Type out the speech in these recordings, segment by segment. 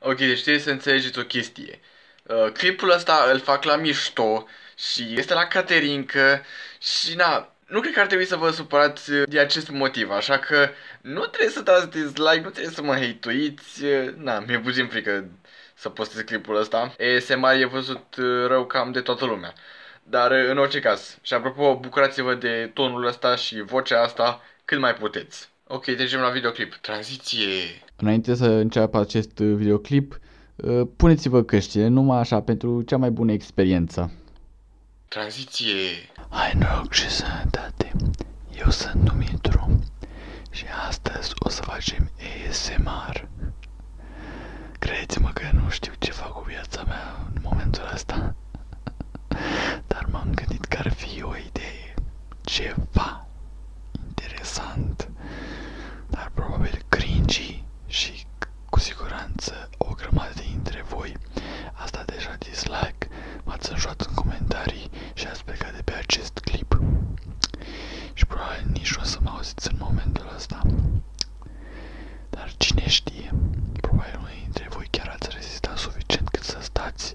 Ok, deci trebuie să înțelegeți o chestie. Uh, clipul ăsta îl fac la mișto și este la Caterinca și na, nu cred că ar trebui să vă supărați uh, de acest motiv, așa că nu trebuie să dați dislike, nu trebuie să mă hateuiți, uh, na, mi-e puțin frică să postez clipul ăsta. ASMR e văzut uh, rău cam de toată lumea. Dar în orice caz, și apropo, bucurați-vă de tonul ăsta și vocea asta cât mai puteți. Ok, trecem la videoclip. Tranziție! Înainte să înceapă acest uh, videoclip, uh, puneți-vă căștile numai așa pentru cea mai bună experiență. Tranziție! Hai noroc și sănătate! Eu sunt Dumitru și astăzi o să facem ASMR. Credeți-mă că nu știu ce fac cu viața mea în momentul ăsta, dar m-am gândit că ar fi o idee ceva interesant, dar probabil cringy și cu siguranță o grămadă dintre voi ați dat deja dislike, m-ați înjoat în comentarii și ați plecat de pe acest clip și probabil nici nu o să mă auziți în momentul ăsta. Dar cine știe, probabil unii dintre voi chiar ați rezistat suficient cât să stați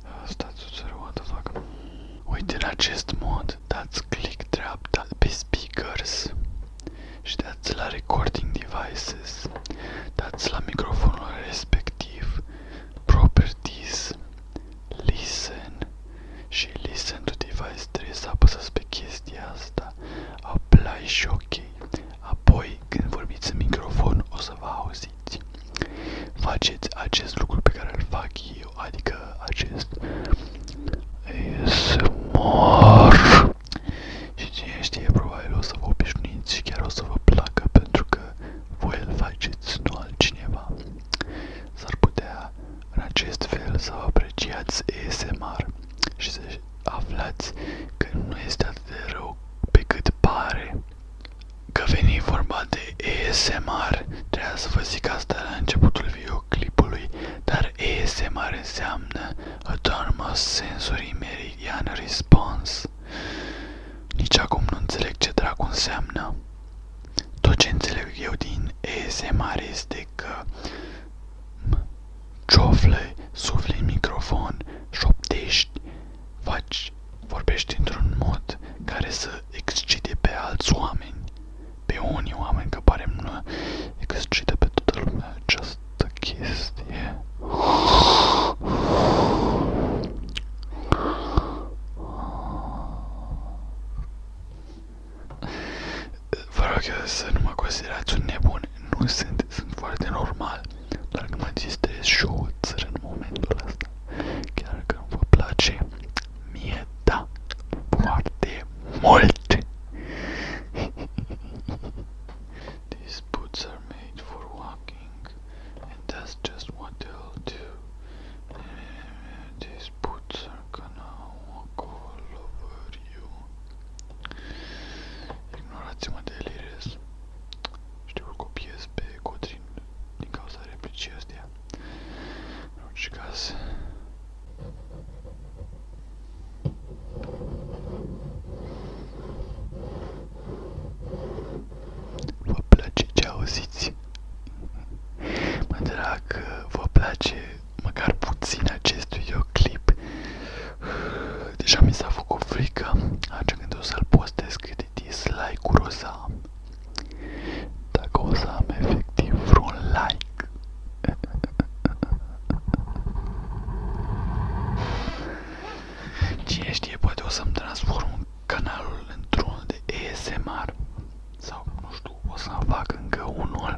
Stați uțără, what the fuck? Uite, în acest mod dați click dreapta pe speakers și dați la recording devices, dați la microfonul respectiv, properties, listen și listen to device trebuie să apăsați pe chestia asta, apply și ok. Apoi, când vorbiți în microfon, o să vă auziți simțiți. Faceți acest lucru pe care îl fac eu, adică acest ASMR. Și cine știe, probabil o să vă obișnuiți și chiar o să vă placă pentru că voi îl faceți, nu altcineva. S-ar putea în acest fel să apreciați ASMR și să aflați că nu este atât de rău pe cât pare. Că veni vorba de ASMR, trebuia să vă zic asta la începutul videoclipului, dar ASMR înseamnă Autonomous Sensory Meridian Response. Nici acum nu înțeleg ce dracu înseamnă. Tot ce înțeleg eu din ASMR este că ciofle, sufli în microfon, șoptești faci, vorbești într-un mod care să excite pe alți oameni, pe unii oameni, că pare nu excită pe toată lumea această chestie. Vă rog să nu mă considerați un nebun, nu sunt, sunt foarte normal. doar că mai există show-uri în momentul ăsta. Chiar că vă place, mie da, foarte mult! These boots are made for walking, and that's just what they'll do. These boots are gonna walk all over you. Ignorați-mă de Eliris. Știu că copiez pe Codrin din cauza replicii astea. În orice caz... Vă place ce Mă drag vă place măcar puțin acest videoclip. Deja mi s-a făcut frică atunci când o să-l postez cât de dislike-uri o să am. Dacă o să am efectiv vreun like. Cine știe, poate o să-mi transform canalul într-unul de ASMR. Sau, nu știu, o să fac încă unul.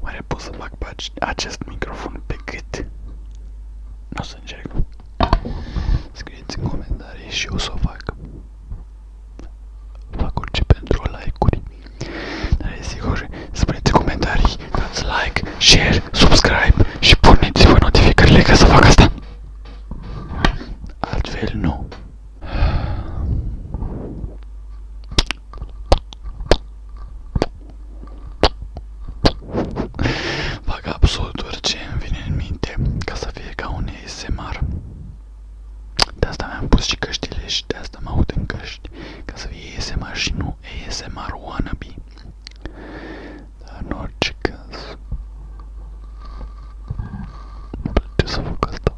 Oare pot să bag pe acest microfon pe gât? Nu o să încerc. Scrieți în comentarii și eu o să o fac. Fac orice pentru like-uri. Dar e sigur, spuneți în comentarii, dați like, share, subscribe și porniți-vă notificările ca să fac asta. Altfel nu. Fac absolut orice îmi vine în minte ca să fie ca un ASMR. De asta mi-am pus și căștile și de asta mă aud în căști, ca să fie ASMR și nu ASMR wannabe. Dar în orice caz, nu plăce să fac asta.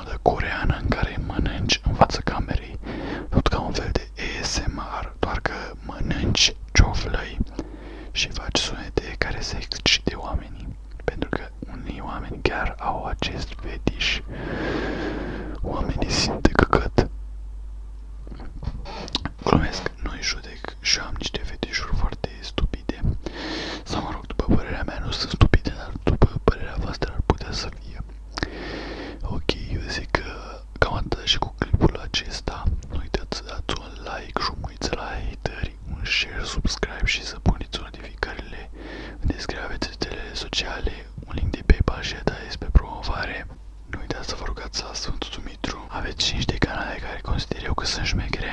modă coreană în care mănânci în fața camerei, tot ca un fel de ASMR, doar că mănânci cioflăi și faci sunete care se excite oamenii, pentru că unii oameni chiar au acest fetiș. Oamenii simt de căcat. Glumesc, nu-i judec și am niște fetișuri foarte stupide. Sau mă rog, după părerea mea, nu sunt stupide, dar după părerea voastră ar putea să fie. Ok, eu zic că cam atât și cu clipul acesta. Nu uitați să dați un like, jumuiți la hateri, un share, subscribe și să puneți notificările. Descrie aveți rețelele sociale, un link de PayPal și despre promovare. Nu uitați să vă rugați la Sfântul Dumitru. Aveți 5 de canale care consider eu că sunt șmechere.